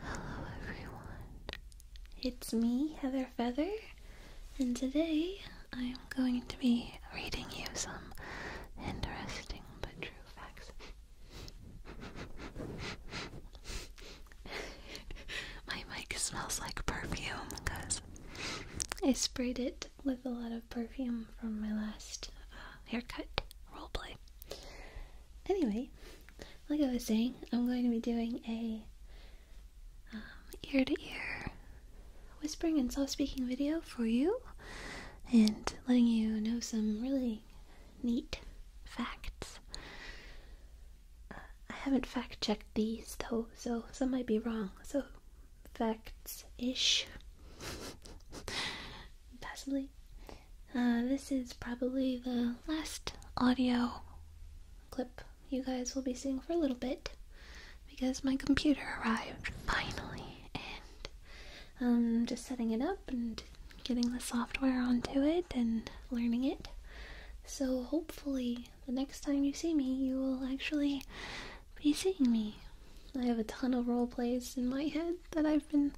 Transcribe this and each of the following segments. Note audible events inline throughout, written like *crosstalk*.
Hello, everyone. It's me, Heather Feather, and today I'm going to be reading you some interesting but true facts. *laughs* My mic smells like perfume because I sprayed it with a lot of perfume from my last uh, haircut roleplay. Anyway, like I was saying, I'm going to be doing a ear to ear whispering and soft speaking video for you and letting you know some really neat facts. Uh, I haven't fact checked these though, so some might be wrong. So, facts ish. *laughs* Possibly. Uh, this is probably the last audio clip you guys will be seeing for a little bit because my computer arrived finally and I'm um, just setting it up and getting the software onto it and learning it. So hopefully, the next time you see me, you will actually be seeing me. I have a ton of role plays in my head that I've been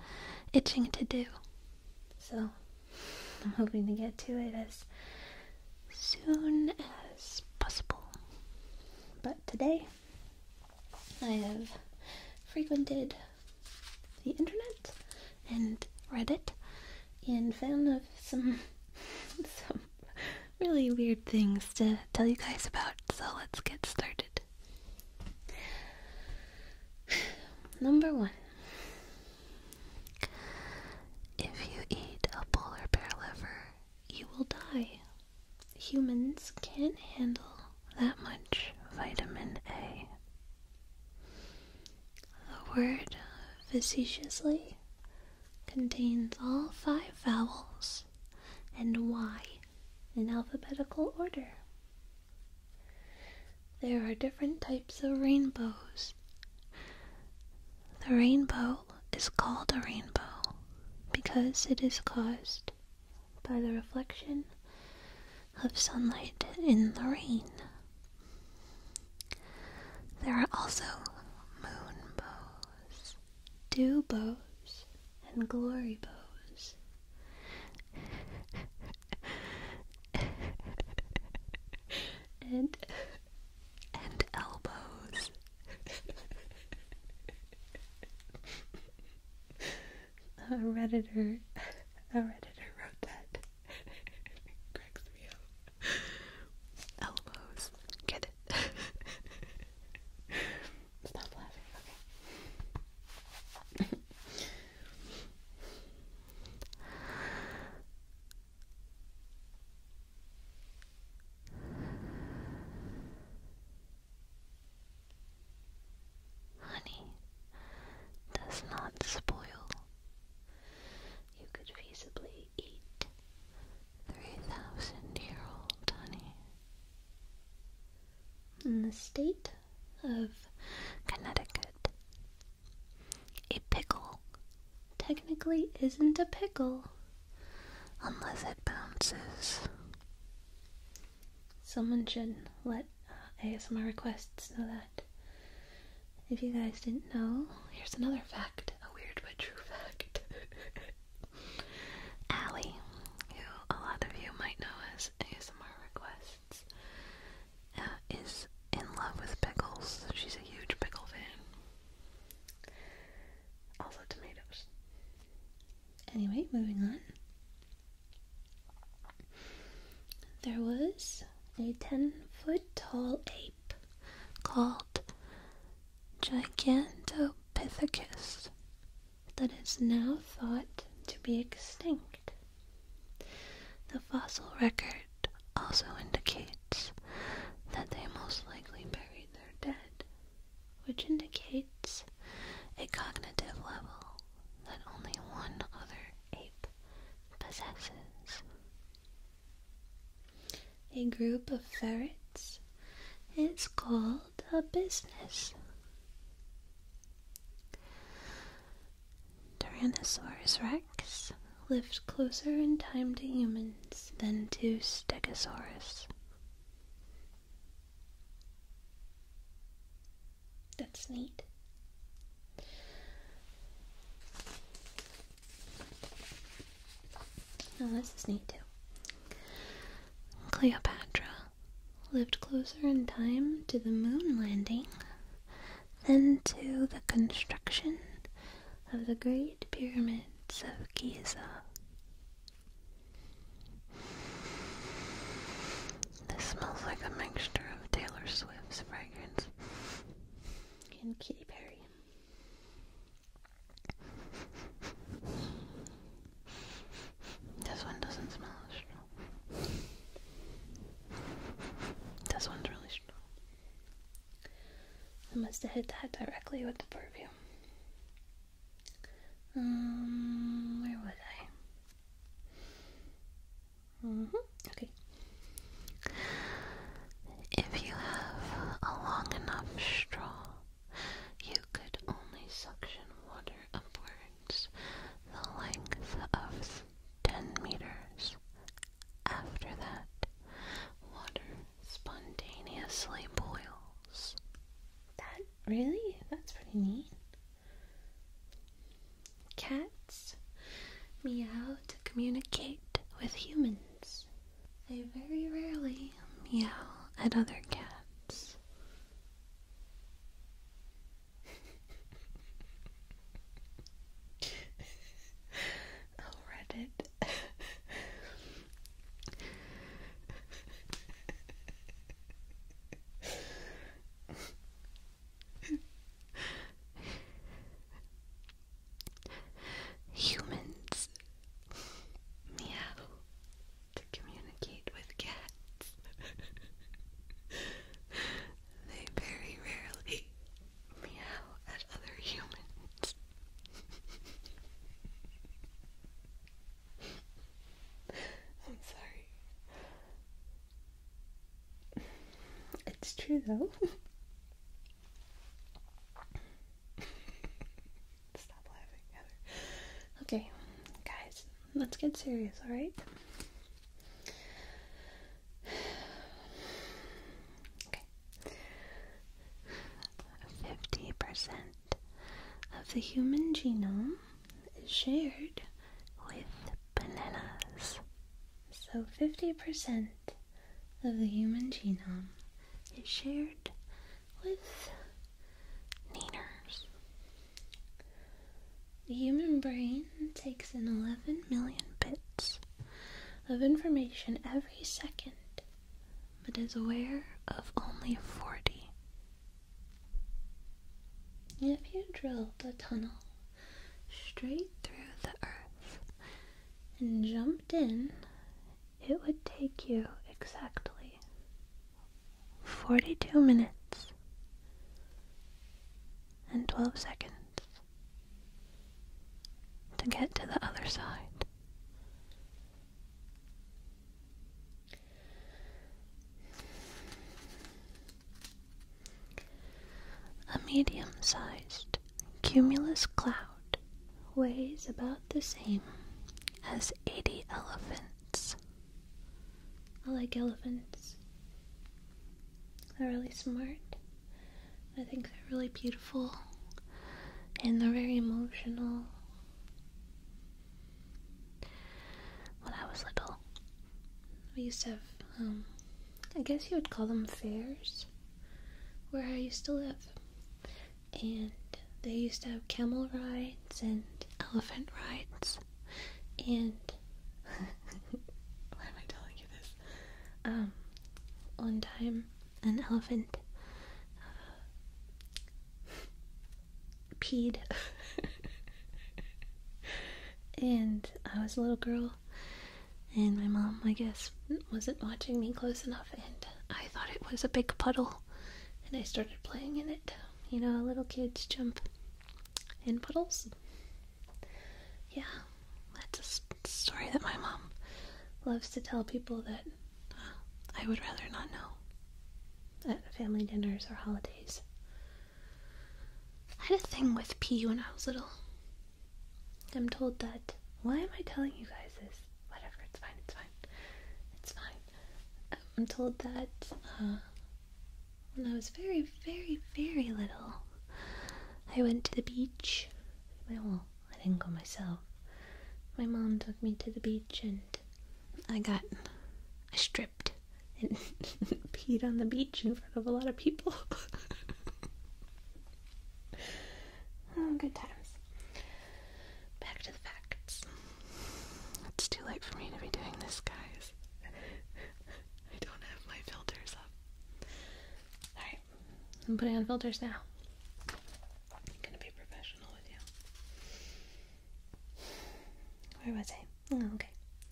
itching to do. So I'm hoping to get to it as soon as possible. But today I have frequented the internet and Reddit and found some *laughs* some really weird things to tell you guys about. So let's get started. *sighs* Number one. If you eat a polar bear liver, you will die. Humans can't handle that much vitamin A the word facetiously contains all five vowels and Y in alphabetical order. There are different types of rainbows. The rainbow is called a rainbow because it is caused by the reflection of sunlight in the rain. There are also moon bows, and glory bows. and and elbows a redditor, a redditor wrote that. *laughs* cracks me up. Elbows, get it? *laughs* Stop laughing. Okay. Honey does not spoil. You could feasibly eat 3,000 year old honey. In the state of Connecticut, a pickle technically isn't a pickle unless it bounces someone should let ASMR requests know that. If you guys didn't know, here's another fact, a weird but true fact. *laughs* Allie, who a lot of you might know as ASMR requests, uh, is in love with pickles. She's a huge pickle fan. Also tomatoes. Anyway, moving on. There was a ten foot tall ape called Gigantopithecus that is now thought to be extinct. The fossil record also indicates that they most likely buried their dead, which indicates a cognitive level that only one other ape possesses. A group of ferrets is called a business. Tyrannosaurus rex lived closer in time to humans than to Stegosaurus. That's neat. oh, this neat too. Cleopatra lived closer in time to the moon landing than to the construction of the great pyramids of Giza. This smells like a mixture of Taylor Swift's fragrance and Katy Perry. This one doesn't smell as strong. This one's really strong. I must have hit that directly with the perfume. Um, where was I? Mm-hmm. If you have a long enough straw, you could only suction water upwards the length of 10 meters. After that, water spontaneously boils. That really? That's pretty neat. Cats meow to communicate with humans. They very rarely meow at other cats. *laughs* oh, Reddit. *laughs* *laughs* Humans meow to communicate with cats. *laughs* they very rarely meow at other humans. *laughs* I'm sorry. It's true though. Stop laughing, Okay, guys, let's get serious, alright? Okay. 50% of the human genome is shared with bananas. So 50% of the human genome is shared with neaners. The human brain takes in 11 million bits of information every second, but is aware of only 40 if you drilled a tunnel straight through the earth and jumped in, it would take you exactly 42 minutes and 12 seconds to get to the other side. A medium sized cumulus cloud weighs about the same as 80 elephants. I like elephants. They're really smart. I think they're really beautiful and they're very emotional. When I was little, we used to have, um, I guess you would call them fairs, where I used to live. And they used to have camel rides and elephant rides. And, *laughs* why am I telling you this? Um, one time, an elephant uh, peed. and I was a little girl, and my mom, I guess, wasn't watching me close enough, and I thought it was a big puddle, and I started playing in it. You know, little kids jump in puddles. Yeah, that's a story that my mom loves to tell people that uh, I would rather not know at family dinners or holidays. I had a thing with pee when I was little. I'm told that. Why am I telling you guys this? Whatever, it's fine, it's fine. It's fine. I'm told that uh, when I was very, very, very little, I went to the beach. Well, I didn't go myself. My mom took me to the beach and I got. I and *laughs* peed on the beach in front of a lot of people. *laughs* oh, good times. Back to the facts. It's too late for me to be doing this, guys. *laughs* I don't have my filters up. Alright, I'm putting on filters now. I'm gonna be professional with you. Where was I? Oh, okay.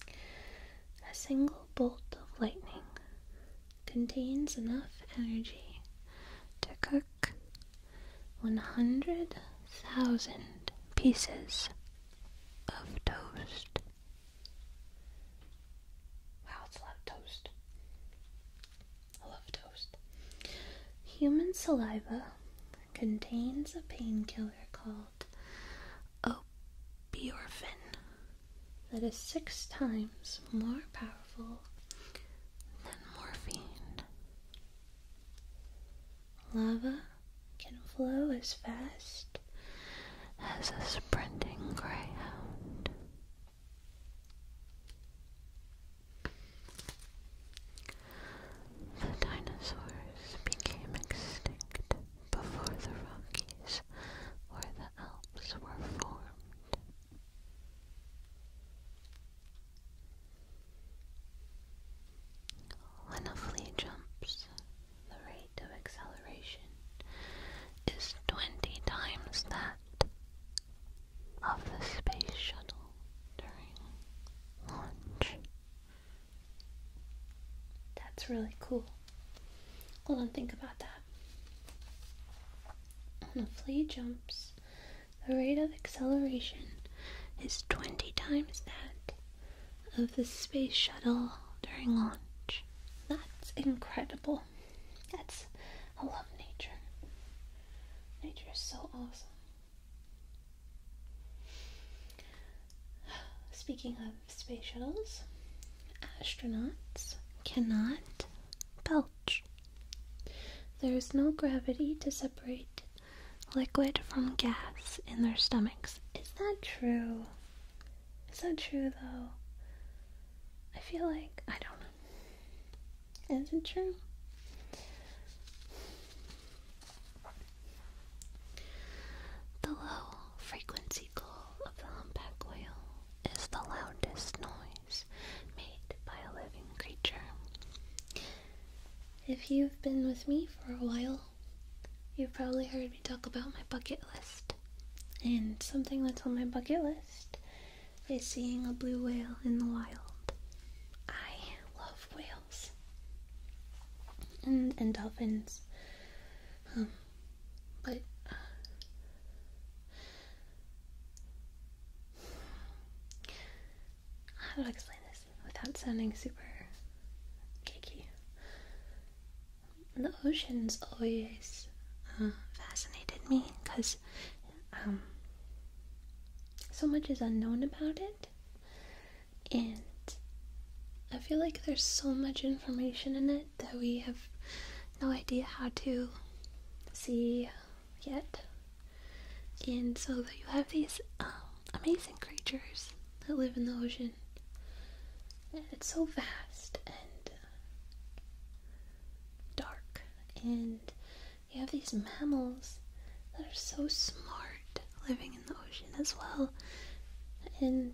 A single bolt of lightning contains enough energy to cook 100,000 pieces of toast. Wow, it's a lot of toast. I love toast. Human saliva contains a painkiller called called that is six times more powerful than morphine. Lava can flow as fast as a sprinting greyhound. The dinosaurs became extinct before the Rockies or the Alps were formed. When a flea jumps, the rate of acceleration is 20 times that of the space shuttle during launch. That's really cool. Hold on, think about that. When a flea jumps, the rate of acceleration is 20 times that of the space shuttle during launch. That's incredible. That's, I love nature. Nature is so awesome. Speaking of space shuttles, astronauts cannot belch. There is no gravity to separate liquid from gas in their stomachs. Is that true? Is that true though? I feel like, I don't know. Is not true? The low frequency call of the humpback whale is the loudest noise made by a living creature. If you've been with me for a while, you've probably heard me talk about my bucket list. And something that's on my bucket list is seeing a blue whale in the wild. I love whales and and dolphins. Um, but uh, how do I explain this without sounding super geeky? The oceans always uh, fascinated me because um, so much is unknown about it and I feel like there's so much information in it that we have no idea how to see yet. And so you have these um, amazing creatures that live in the ocean, and it's so vast and dark. And you have these mammals that are so smart living the ocean as well. And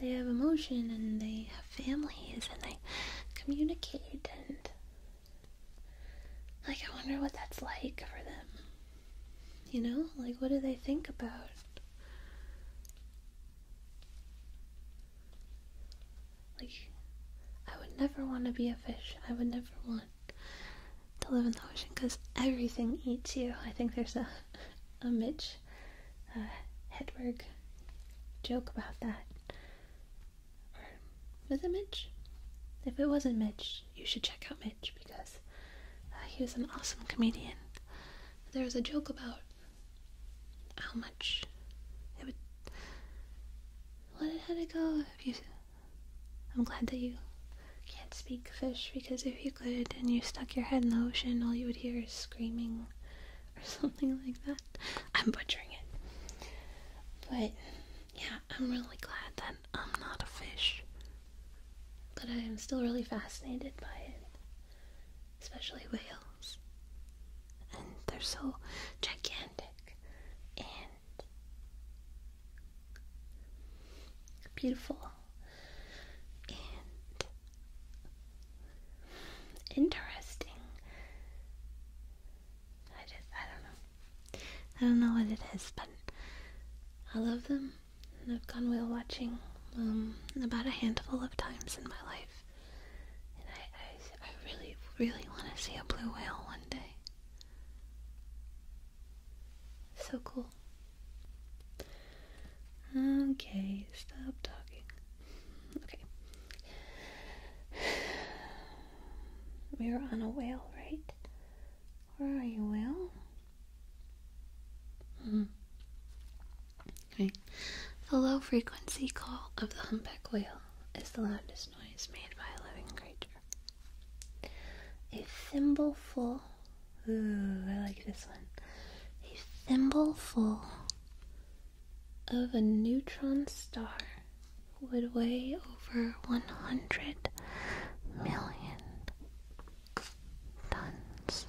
they have emotion and they have families and they communicate and like I wonder what that's like for them. You know? Like what do they think about? Like I would never want to be a fish. I would never want to live in the ocean because everything eats you. I think there's a, a Mitch uh, Hedberg joke about that. Or was it Mitch? If it wasn't Mitch, you should check out Mitch because uh, he was an awesome comedian. There was a joke about how much it would. let it go if you I'm glad that you can't speak fish because if you could and you stuck your head in the ocean, all you would hear is screaming or *laughs* something like that. I'm butchering it. But yeah, I'm really glad that I'm not a fish. But I am still really fascinated by it, especially whales. And they're so gigantic and beautiful and interesting. I just, I don't know. I don't know what it is, but I love them. And I've gone whale watching um, about a handful of times in my life. And I, I, I really, really want to see a blue whale one day. So cool. Okay, stop talking. Okay. We are on a whale, right? Where are you, whale? Hmm. Okay. The low frequency call of the humpback whale is the loudest noise made by a living creature. A thimbleful. Ooh, I like this one. A thimbleful of a neutron star would weigh over 100 million tons.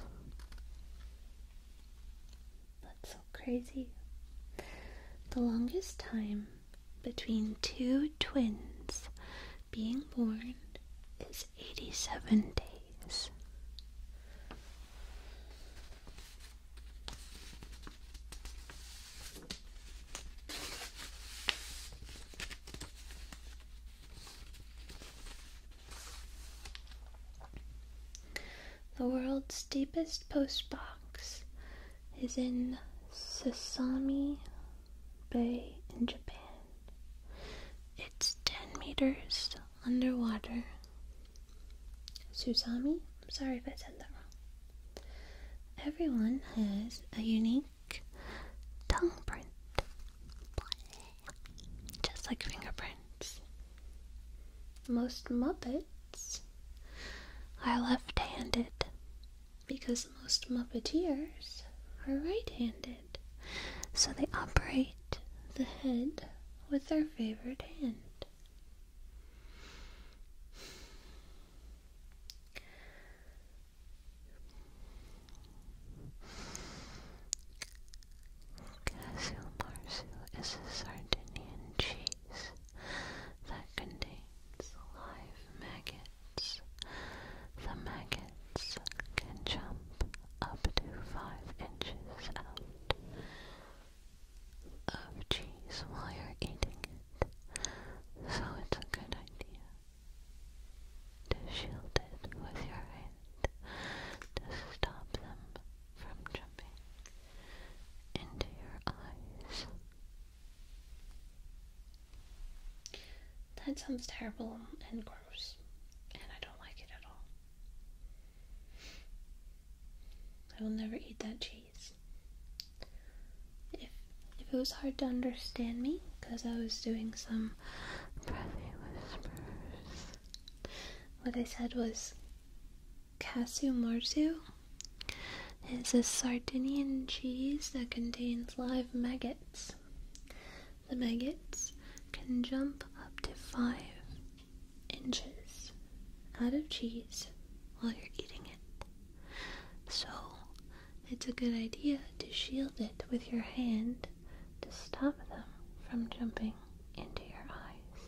That's so crazy. The longest time between two twins being born is 87 days. The world's deepest postbox is in Sasami, Bay in Japan. It's 10 meters underwater. Susami? I'm sorry if I said that wrong. Everyone has a unique tongue print. Just like fingerprints. Most Muppets are left handed because most Muppeteers are right handed, so they operate the head with their favorite hand. Cashew marsu is a Sardinian cheese that contains live maggots. The maggots can jump up to five inches out of cheese while you're eating it, so it's a good idea to shield it with your hand to stop them from jumping into your eyes. That sounds terrible and gross, and I don't like it at all. I will never eat that cheese. If, if it was hard to understand me, because I was doing some breathy whispers, what I said was Casio Marzu it's a Sardinian cheese that contains live maggots. The maggots can jump up to five inches out of cheese while you're eating it. So, it's a good idea to shield it with your hand to stop them from jumping into your eyes.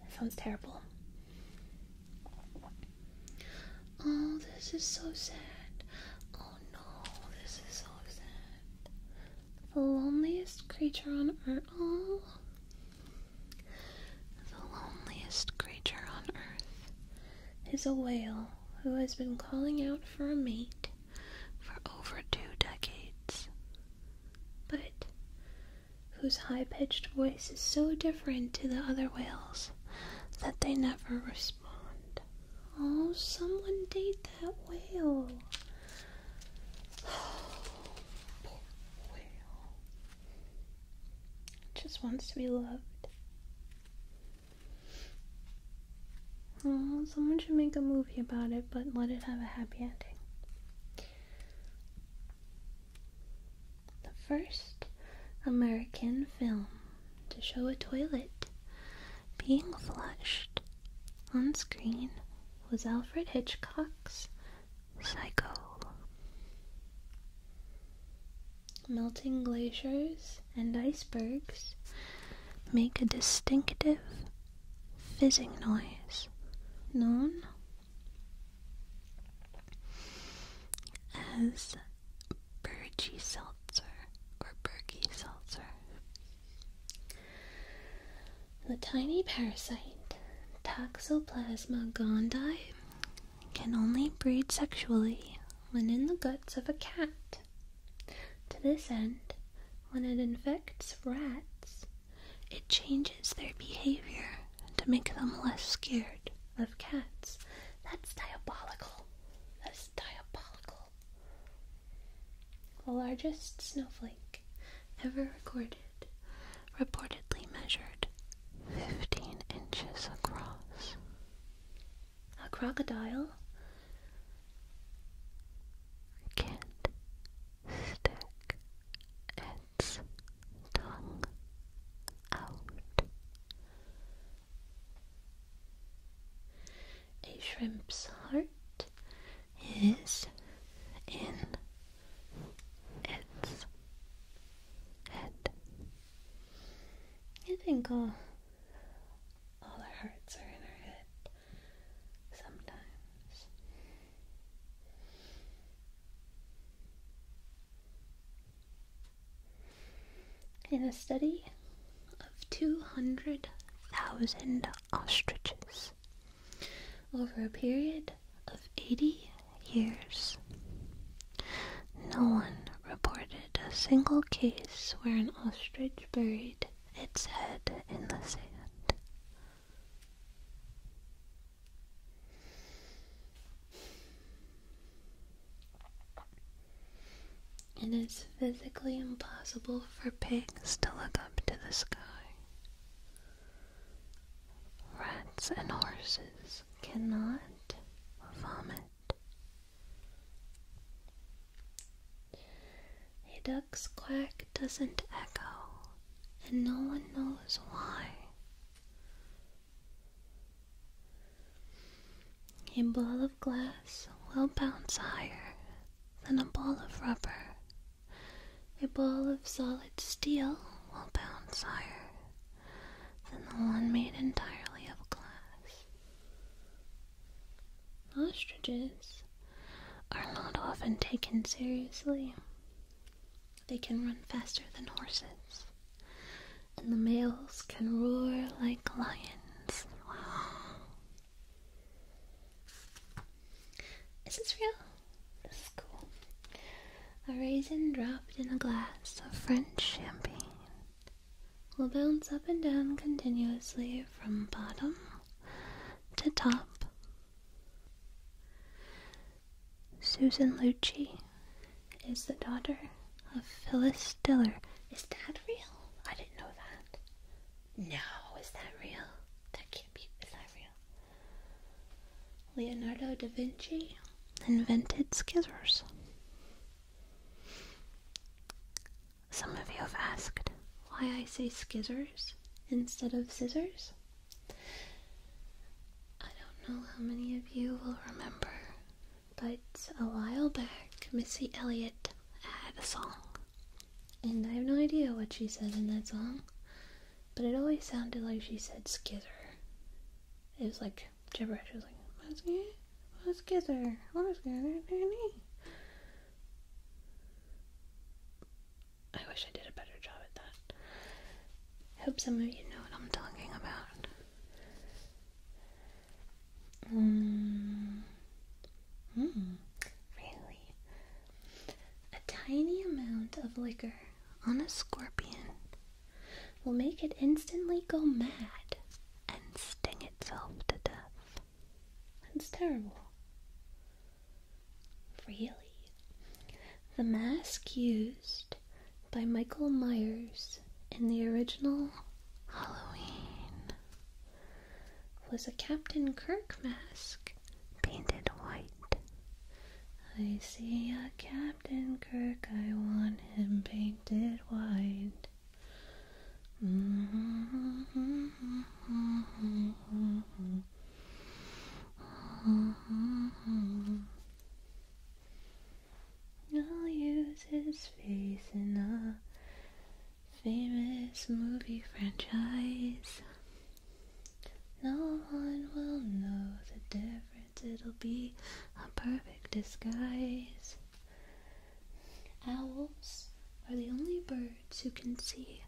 That sounds terrible. Oh, this is so sad. Oh no, this is so sad. The loneliest creature on earth. Oh. The loneliest creature on earth is a whale who has been calling out for a mate for over two decades. But whose high pitched voice is so different to the other whales that they never respond. Oh, someone date that whale. Oh, *sighs* poor whale. Just wants to be loved. Oh, someone should make a movie about it, but let it have a happy ending the first American film to show a toilet being flushed on screen was Alfred Hitchcock's Psycho. Melting glaciers and icebergs make a distinctive fizzing noise known as Burgy Seltzer or Berkey Seltzer. The tiny parasite Toxoplasma gondii can only breed sexually when in the guts of a cat. To this end, when it infects rats, it changes their behavior to make them less scared of cats. That's diabolical. That's diabolical. The largest snowflake ever recorded reportedly measured 15 inches across. A crocodile can't stick its tongue out. A shrimp's heart is in its head. You think all, all our hearts are in our head sometimes. In a study of 200,000 ostriches over a period of 80 years, no one reported a single case where an ostrich buried its head in the sand. It is physically impossible for pigs to look up to the sky. Rats and horses cannot vomit. A duck's quack doesn't echo, and no one knows why. A ball of glass will bounce higher than a ball of rubber. A ball of solid steel will bounce higher than the one made entirely of glass. Ostriches are not often taken seriously. They can run faster than horses and the males can roar like lions. Wow. *gasps* Is this real? This is cool. A raisin dropped in a glass of French champagne will bounce up and down continuously from bottom to top. Susan Lucci is the daughter of Phyllis Diller. Is that real? I didn't know that. No, is that real? That can't be. Is that real? Leonardo da Vinci invented scissors. Some of you have asked why I say scissors instead of scissors. I don't know how many of you will remember but a while back, Missy Elliott had a song, and I have no idea what she said in that song, but it always sounded like she said "skither." It was like gibberish. It was like "what's skither? What's skither?" I wish I did a better job at that. I hope some of you know what I'm talking about. Mm. Hmm. really? A tiny amount of liquor on a scorpion will make it instantly go mad and sting itself to death. That's terrible. Really? The mask used by Michael Myers in the original Halloween was a Captain Kirk mask painted white. I see a Captain Kirk, I want him painted white. Mm-hmm. I'll use his face in a famous movie franchise. No one will know the difference, it'll be a perfect disguise. Owls are the only birds who can see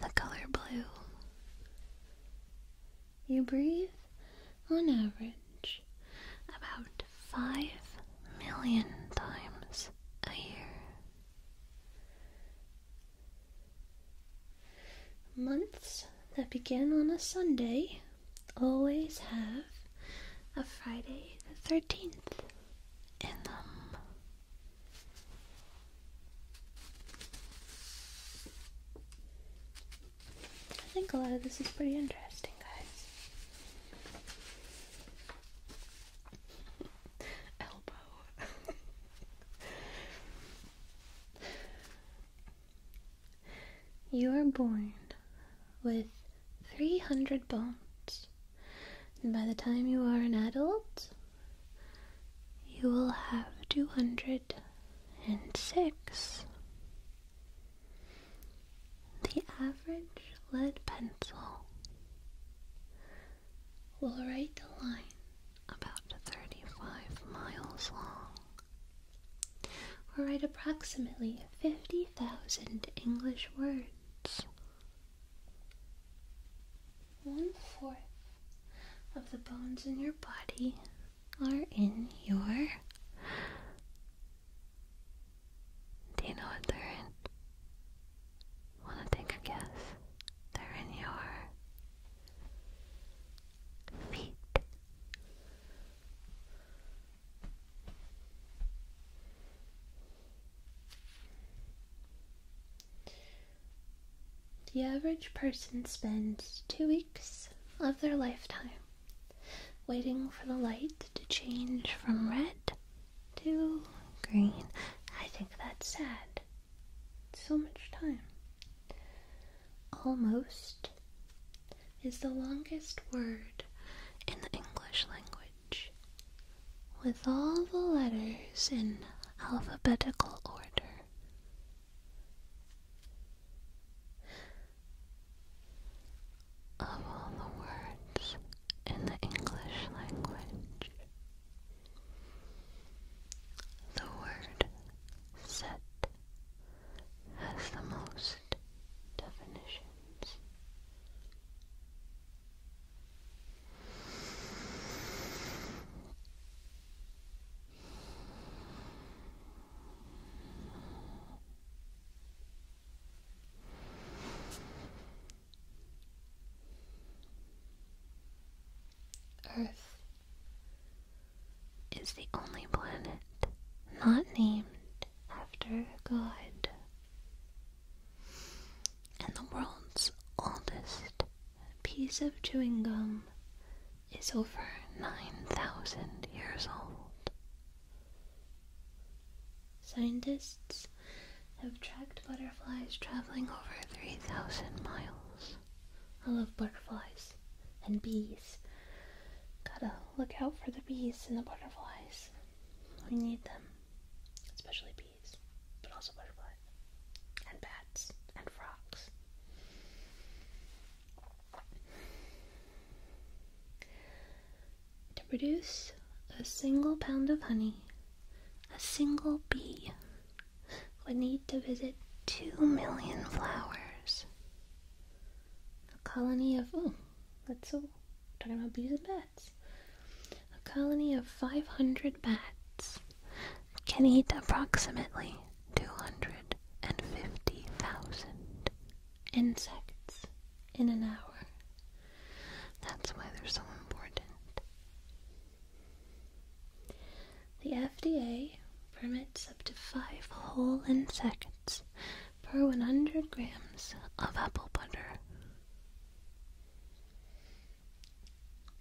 the color blue you breathe, on average, about 5 million times a year. Months that begin on a Sunday always have a Friday the 13th in them. I think a lot of this is pretty interesting, guys. Elbow. you are born with 300 bones, and by the time you are an adult, you will have 206. The average lead pencil will write a line about 35 miles long, or write approximately 50,000 English words. One fourth of the bones in your body are in your. Do you know what they're in? Wanna take a guess? They're in your feet. The average person spends two weeks of their lifetime waiting for the light to change from red to green. I think that's sad. So much time. Almost is the longest word in the English language, with all the letters in alphabetical order of all the words in the English language. The word set has the most definitions. Earth is the only planet not named after a god, and the world's oldest piece of chewing gum is over 9,000 years old. Scientists have tracked butterflies traveling over 3,000 miles. I love butterflies and bees. Gotta look out for the bees and the butterflies. We need them, especially bees, but also butterflies, and bats, and frogs. To produce a single pound of honey, a single bee would need to visit two million flowers. A colony of, oh, that's so, talking about bees and bats. A colony of 500 bats can eat approximately 250,000 insects in an hour. That's why they're so important. The FDA permits up to five whole insects per 100 grams of apple butter.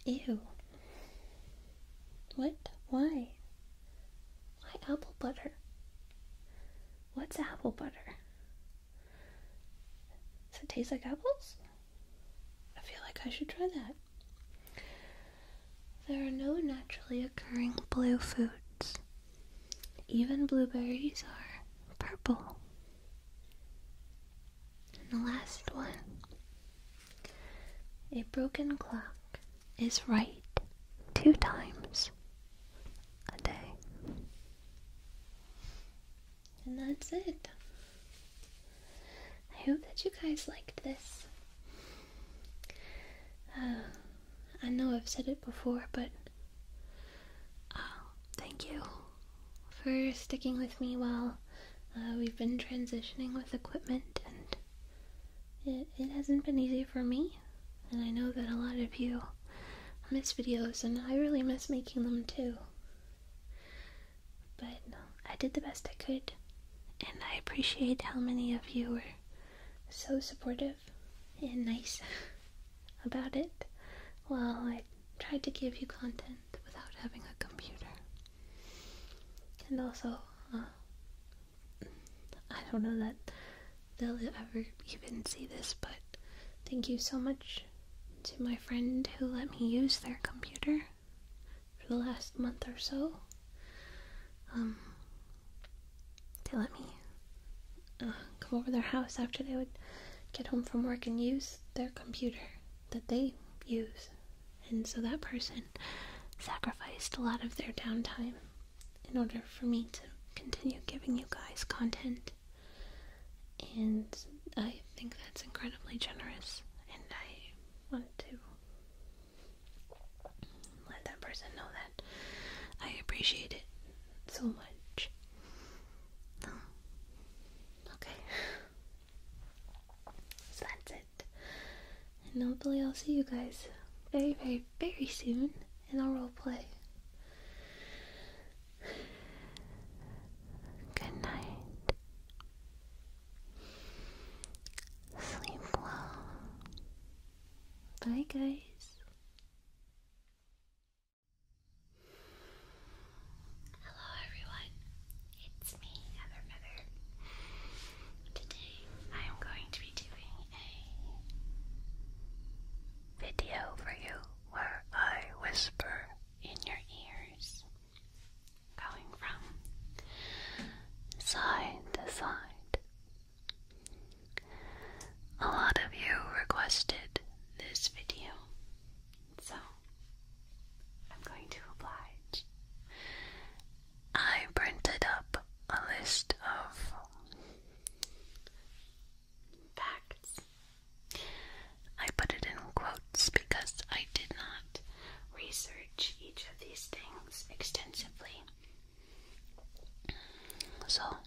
Ew. What? Why? Why apple butter? What's apple butter? Does it taste like apples? I feel like I should try that. There are no naturally occurring blue foods. Even blueberries are purple. And the last one a broken clock is right two times a day. And that's it. I hope that you guys liked this. Uh, I know I've said it before, but uh, thank you for sticking with me while uh, we've been transitioning with equipment and it, it hasn't been easy for me, and I know that a lot of you miss videos, and I really miss making them too. But um, I did the best I could, and I appreciate how many of you were so supportive and nice *laughs* about it while I tried to give you content without having a computer. And also, uh, I don't know that they'll ever even see this, but thank you so much to my friend who let me use their computer for the last month or so. Um, they let me uh, come over their house after they would get home from work and use their computer that they use and so that person sacrificed a lot of their downtime in order for me to continue giving you guys content. And I think that's incredibly generous. And I want to let that person know that I appreciate it so much. Oh, okay. *laughs* So that's it. And hopefully I'll see you guys very, very, very soon in our roleplay. Good night. Sleep well. Bye, guys. Hello, everyone. It's me, Heather Mother. Today I am going to doing a video for you where I whisper in your ears, going from side to side. A lot of you requested this video, so I'm going to oblige I printed up a list of facts. I put it in quotes because I did not research each of these things extensively. So,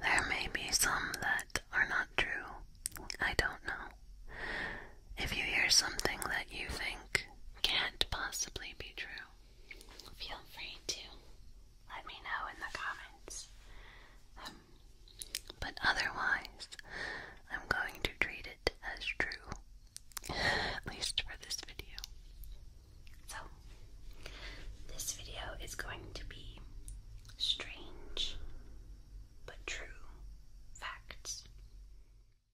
there may be some that are not true. I don't know. If you hear something that you think can't possibly be true, feel free to let me know in the comments. Um, but otherwise, I'm going to treat it as true, at least for this video. So, this video is going to be strange but true facts.